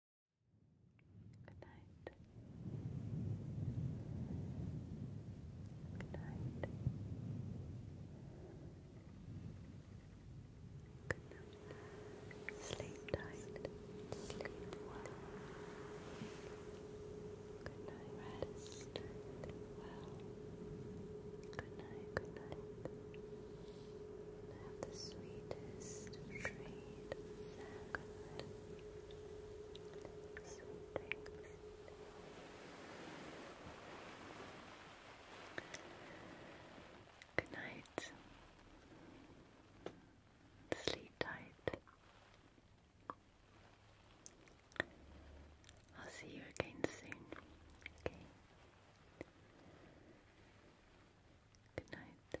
Good night. Good night. Good night. Sleep tight. Sleep well. Good night. Rest Good night. Have the sweetest dreams. Sweet dreams. Sweet dreams. Good night. Sleep tight. I'll see you again soon. Okay. Good night.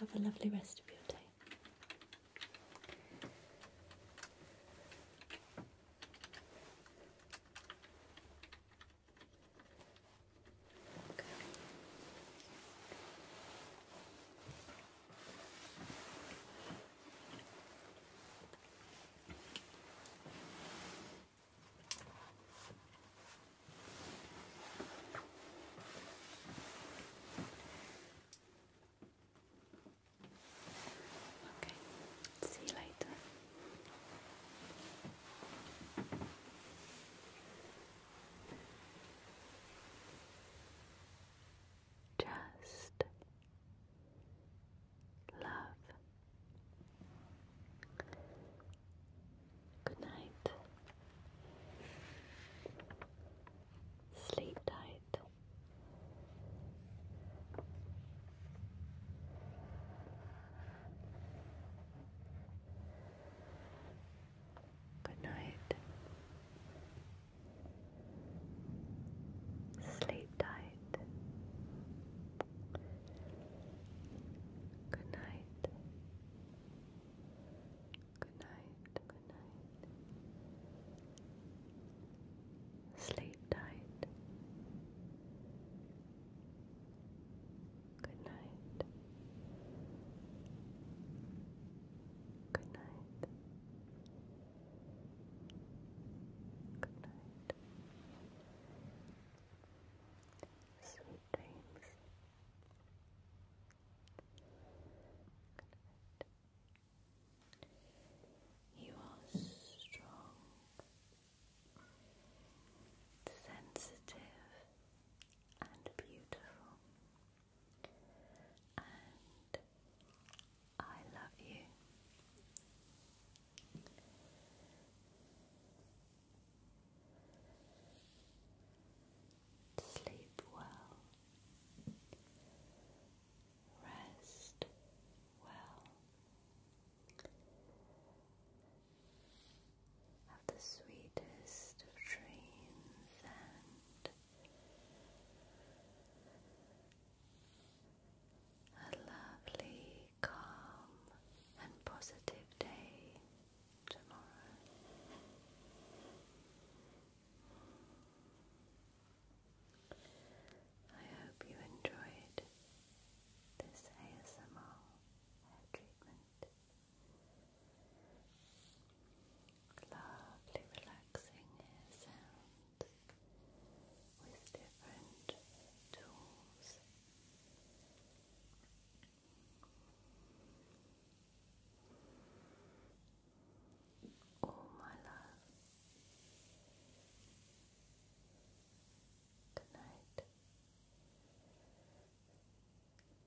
Have a lovely rest of your day. Okay. see you later. Just love. Good night. Sleep tight. Good night. Sleep tight. Good night. Good night. Good night. Sleep tight. Good night. Good night. Good night. Sweet dreams. Good night. You are strong, sensitive, and beautiful. And I love you. Sleep well. Rest well of the sweetest of dreams and a lovely, calm, and positive day tomorrow. I hope you enjoyed this ASMR hair treatment. Lovely relaxing air with different tools. Oh my love. Good night.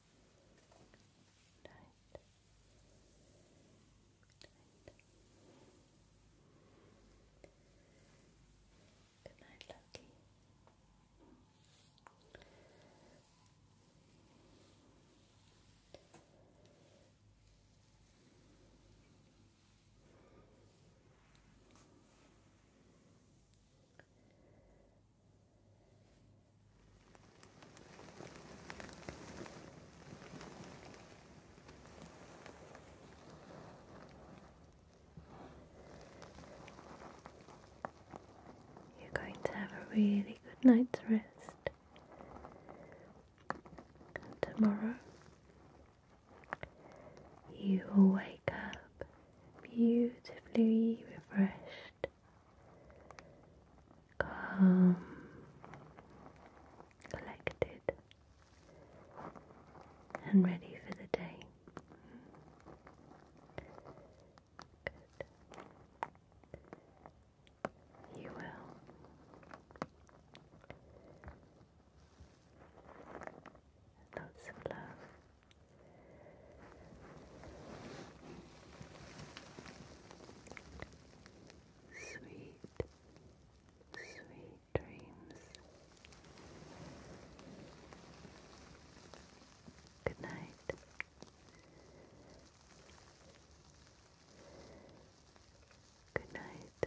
Good night. Good night, Lucky. Good you're going to have a really good night's rest. And tomorrow you will wake up beautifully refreshed calm, collected, and ready for the day. Good. You will. Lots of love. Sweet, sweet dreams. Good night. Good night.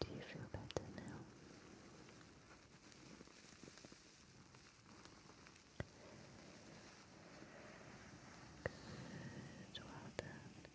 Do you feel better now? Good, well done.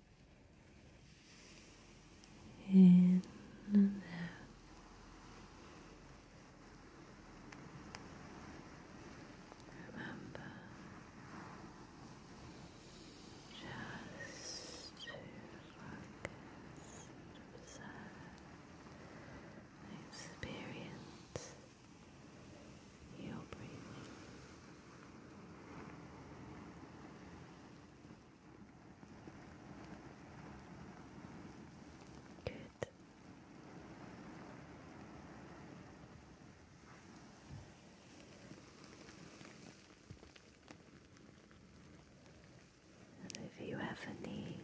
in and out. Remember just to focus, observe, experience your breathing. Good. And if you ever need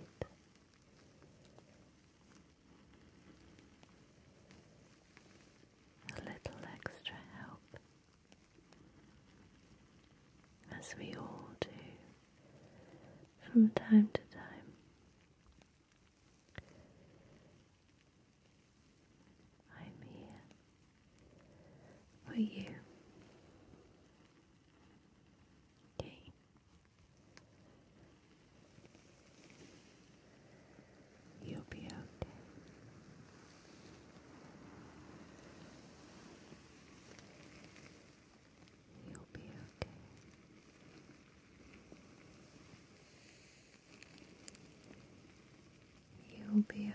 a little extra help, as we all do from time to time. I'm here for you. Okay. You'll be okay. You'll be okay. You'll be okay.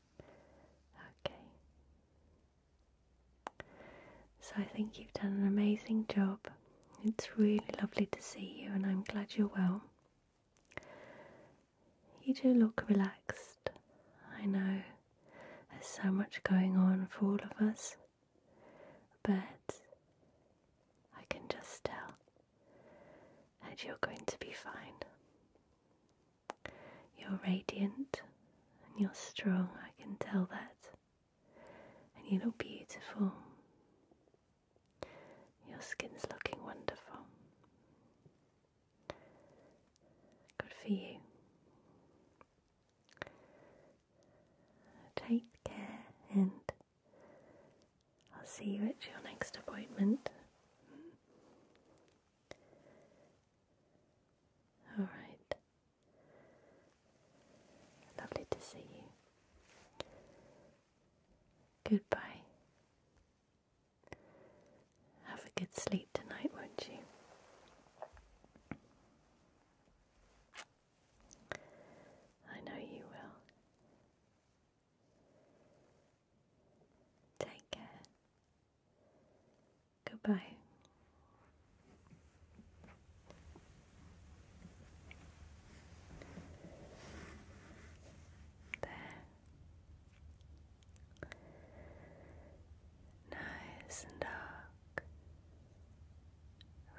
Okay. So I think you've done an amazing job. It's really lovely to see you, and I'm glad you're well. You do look relaxed. I know there's so much going on for all of us, but I can just tell and you're going to be fine. You're radiant and you're strong, I can tell that. And you look beautiful. Your skin's looking wonderful. Good for you. Take care and I'll see you at your next appointment. Hmm. All right. Lovely to see you. Goodbye. Have a good sleep tonight, won't you? I know you will. Take care. Goodbye. There. Nice and dark,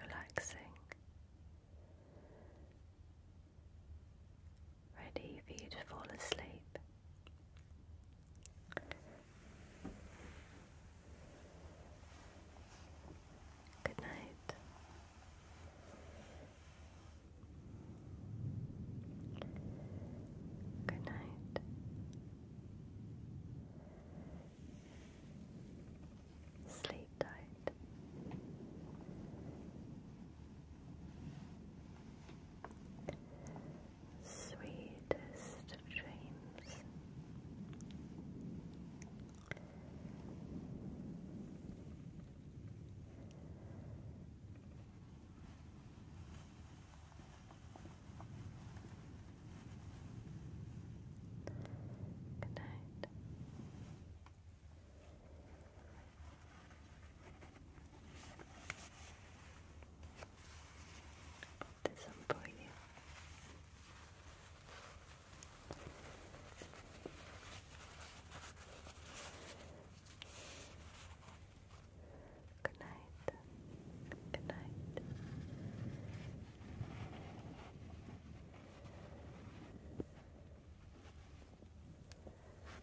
relaxing, ready for you to fall asleep. Good night. Good night. Sleep tight. Sweetest dreams. Good night. Put this on for you. Good night. Good night.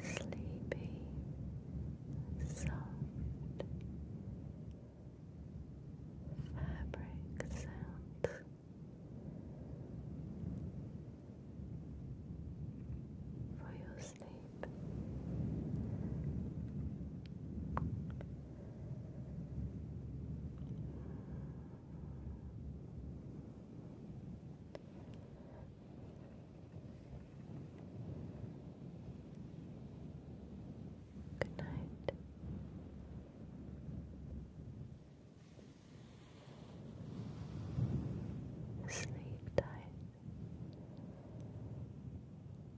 There. Sleepy, soft fabric sounds. For your sleep. Good night. Sleep tight.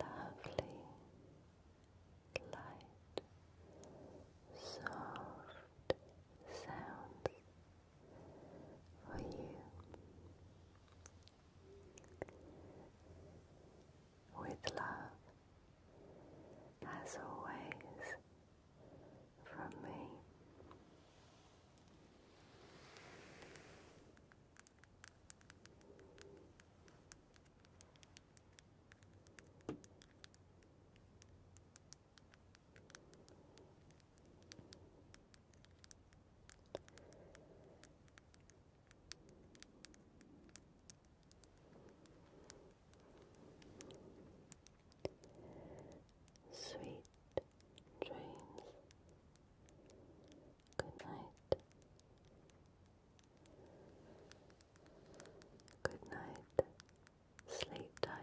Lovely, light, soft sounds for you with love, as always, from me. Sweet dreams. Good night. Good night. Sleep tight.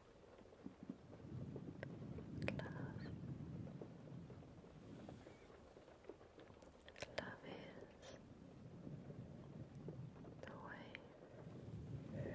Love. Love is the way. Love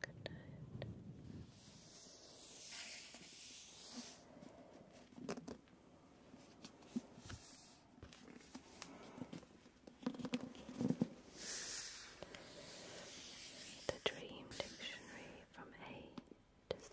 Good night. The Dream Dictionary from A to Z.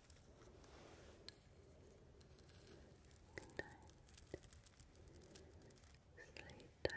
Good night. Sleep tight. Good night. Good night.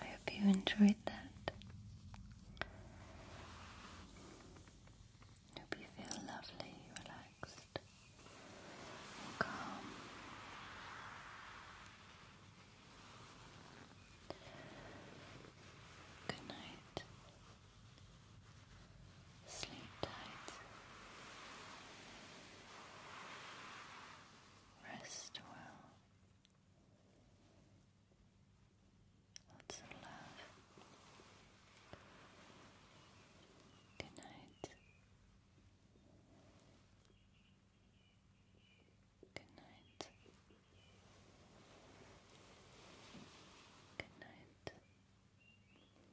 I hope you enjoyed that. hope you feel lovely, relaxed, and calm. Good night. Sleep tight. Rest well. Lots of love. Good night. Good night. Good night.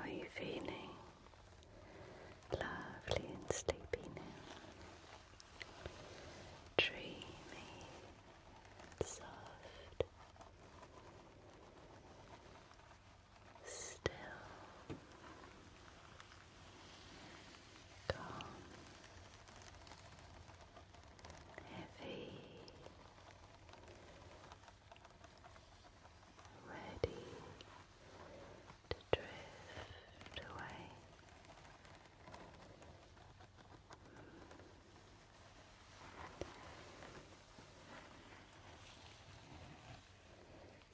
are you feeling? Lovely and sleepy now. Dreamy soft. Still. Calm. Heavy ready to drift away.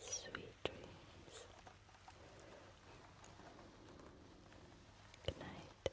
Sweet dreams. Good night.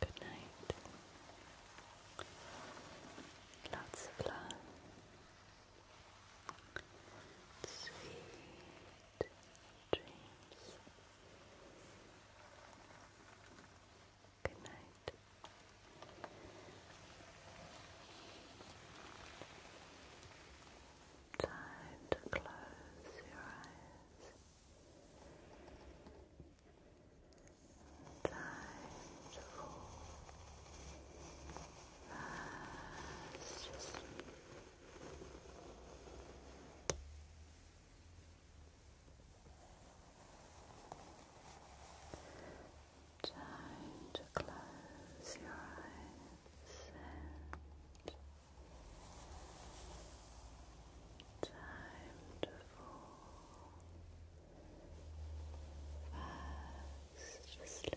Good night. Lots of love. Sweet dreams. Good night. Time to close your eyes. Time to fall fast Time to close your eyes and time to fall fast asleep.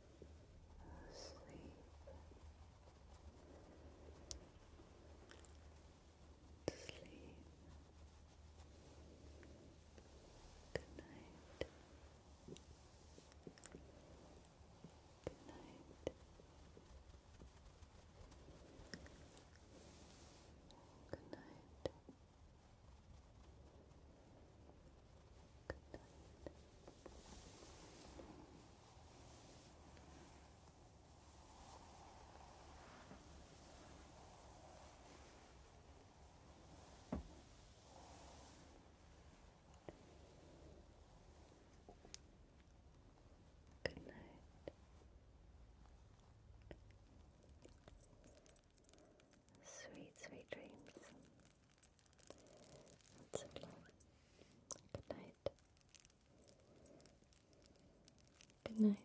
sleep, sleep. Good night. Good night. Good night. Good night. Sweet, sweet dreams. That's Good night. Good night.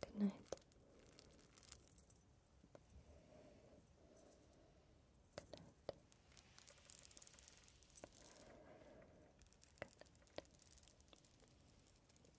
Good night. Good night. Good night.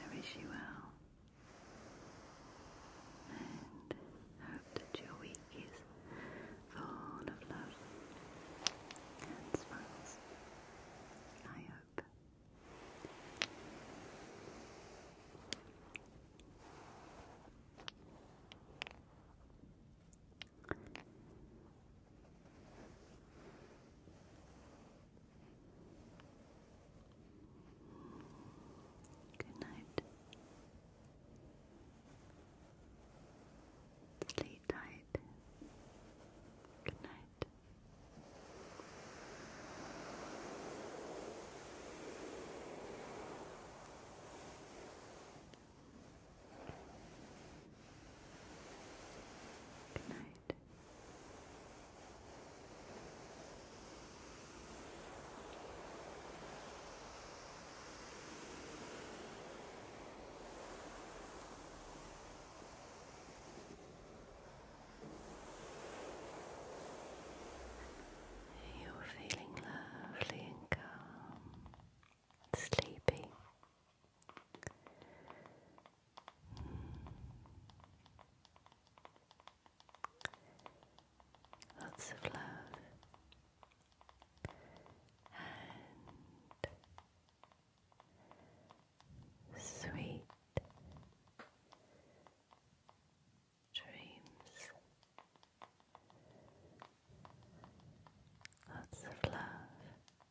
I wish you well and hope that your week is full of love and smiles. I hope. Good night. Sleep tight. Good night. Good night. You're feeling lovely and calm, sleepy. Lots of love and sweet dreams. Lots of love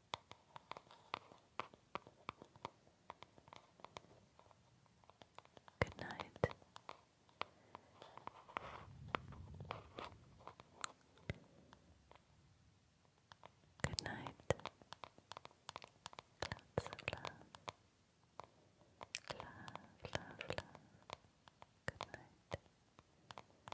Good night. Good night. Lots love. Love, love, love. Good night.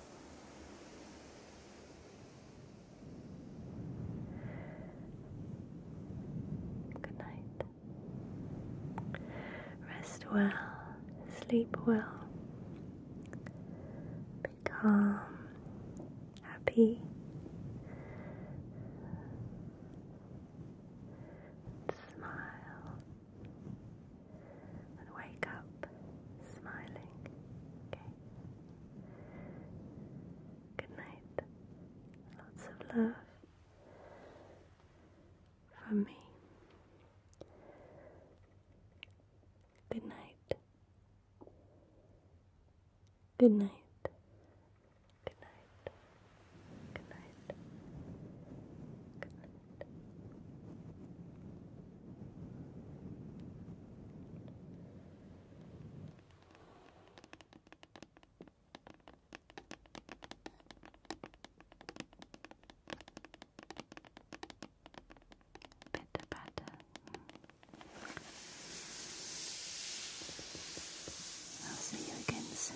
Good night. Rest well, sleep well, be calm, happy, smile and wake up smiling. Okay. Good night. Lots of love from me. Good night. Good night. Good night. Good night. Good night. Bitte, bitte. I'll see you again soon.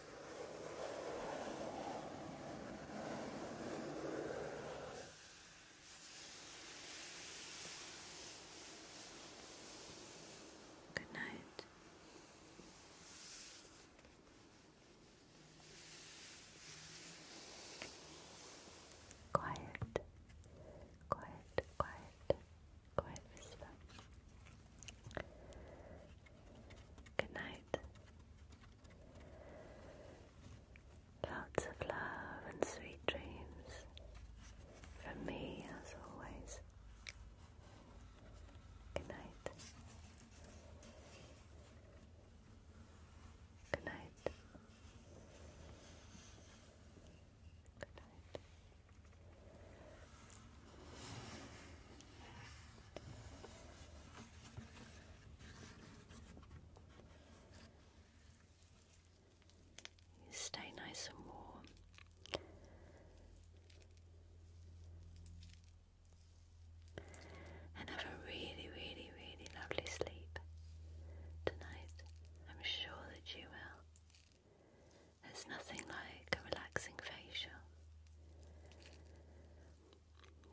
Good night. Quiet, quiet, quiet, quiet Good night. Lots of love and sweet dreams from me as always. Good night. Good night. Good night stay nice and warm. And have a really, really, really lovely sleep tonight. I'm sure that you will. There's nothing like a relaxing facial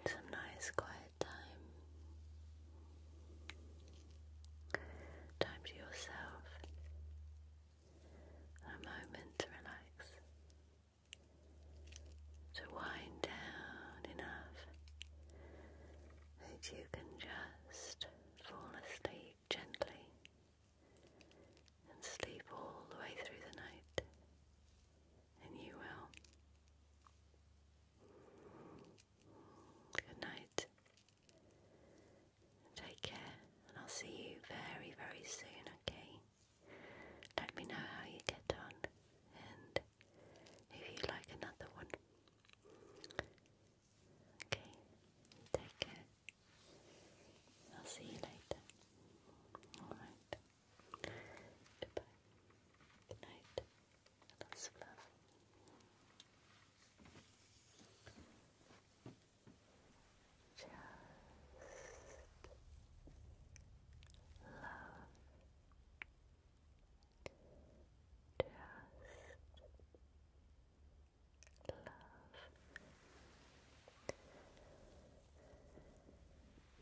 some nice quiet time. Time to yourself. A moment to relax. To wind down enough that you can just fall asleep gently and sleep all the way through the night and you will. Good night. Take care, and I'll see you very, very soon, okay? Let me know how you get on, and if you'd like another one. Okay, take care. I'll see you later. Alright. Goodbye. Good night. Lots of love. Just love. Just love.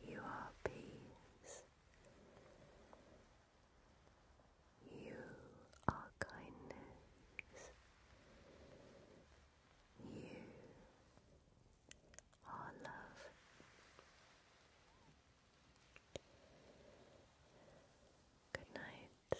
You are peace. You are kindness. You are love. Good night.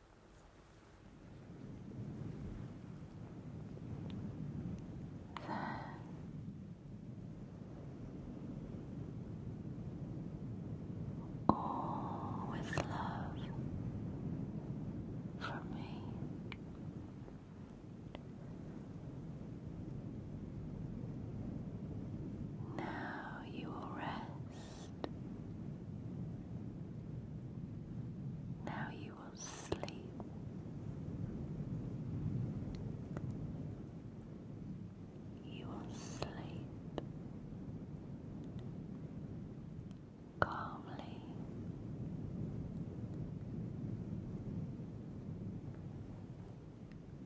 There. All with love for me. Now you will rest. Now you will sleep. You will sleep calmly.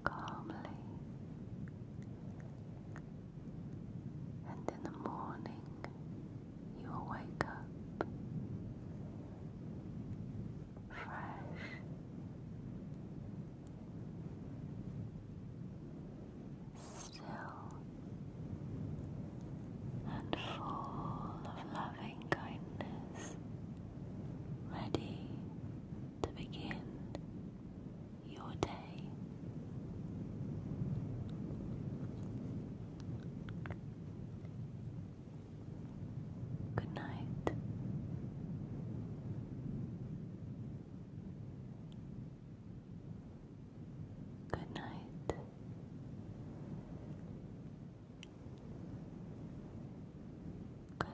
Calmly, and in the morning you will wake up fresh still and full of loving kindness, ready to begin your day. Good night. Good night. Good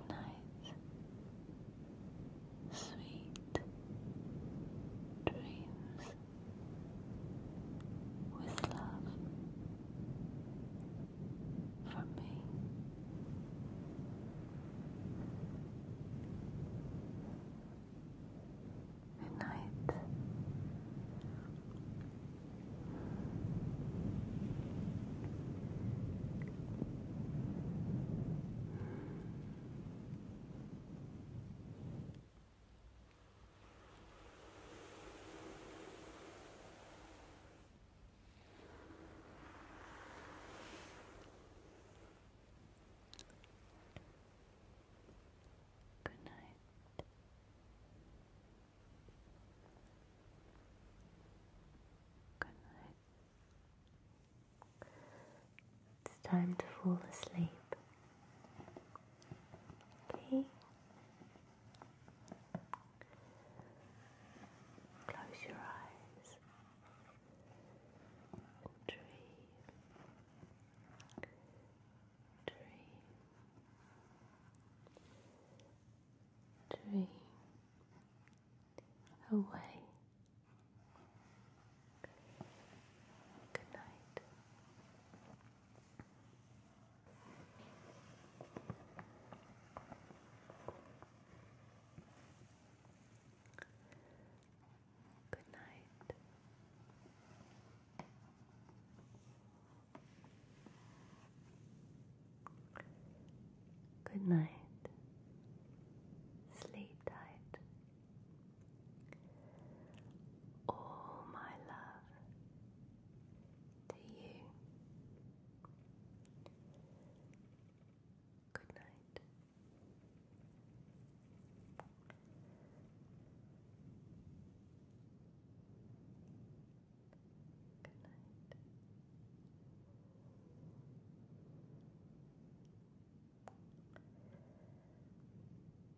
night. Sweet dreams with love from me. Good Good night. Good night. It's time to fall asleep. Okay. Close your eyes. Dream. Dream. Dream. Away. Good night. Good night. Good night. Sleep tight. All my love to you. Good night. Good night.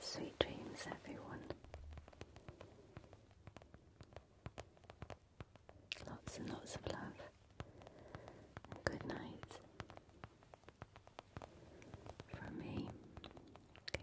Sweet dreams, everyone. Lots and lots of love. good night. From me. Okay.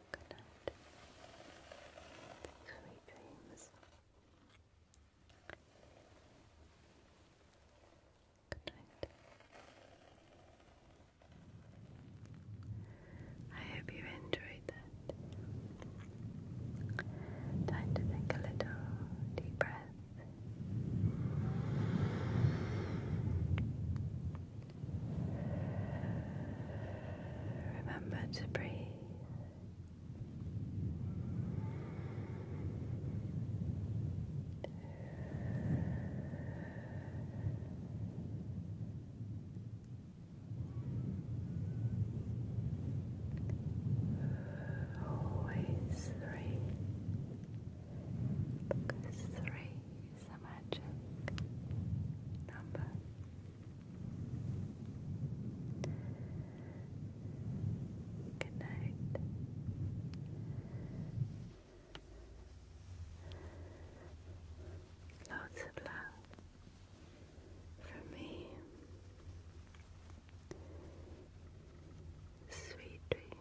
Good night. Sweet dreams. Good night. I hope you enjoyed that. Time to take a little deep breath. Remember to breathe. Always three. Focus three is a number. Good night. Lots of love from me. Sweet dreams.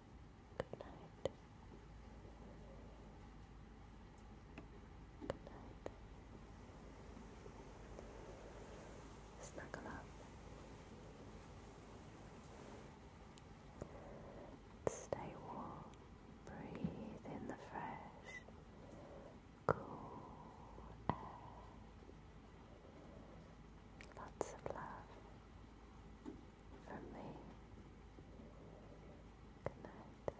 Good night. Good night. Snuggle up. Stay warm. Breathe in the fresh, cool air. Lots of love. For me. Good night. Good night.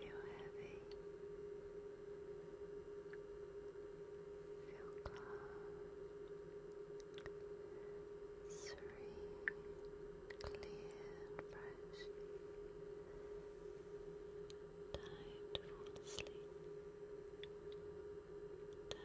Feel heavy. Feel calm, serene, clear fresh. Time to fall asleep. Time to fall fast asleep. Then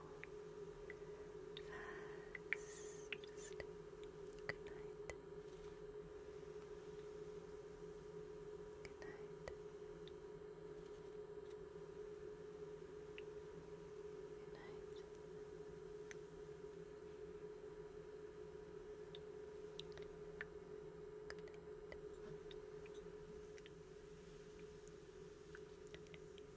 fast good night good night good night Good night.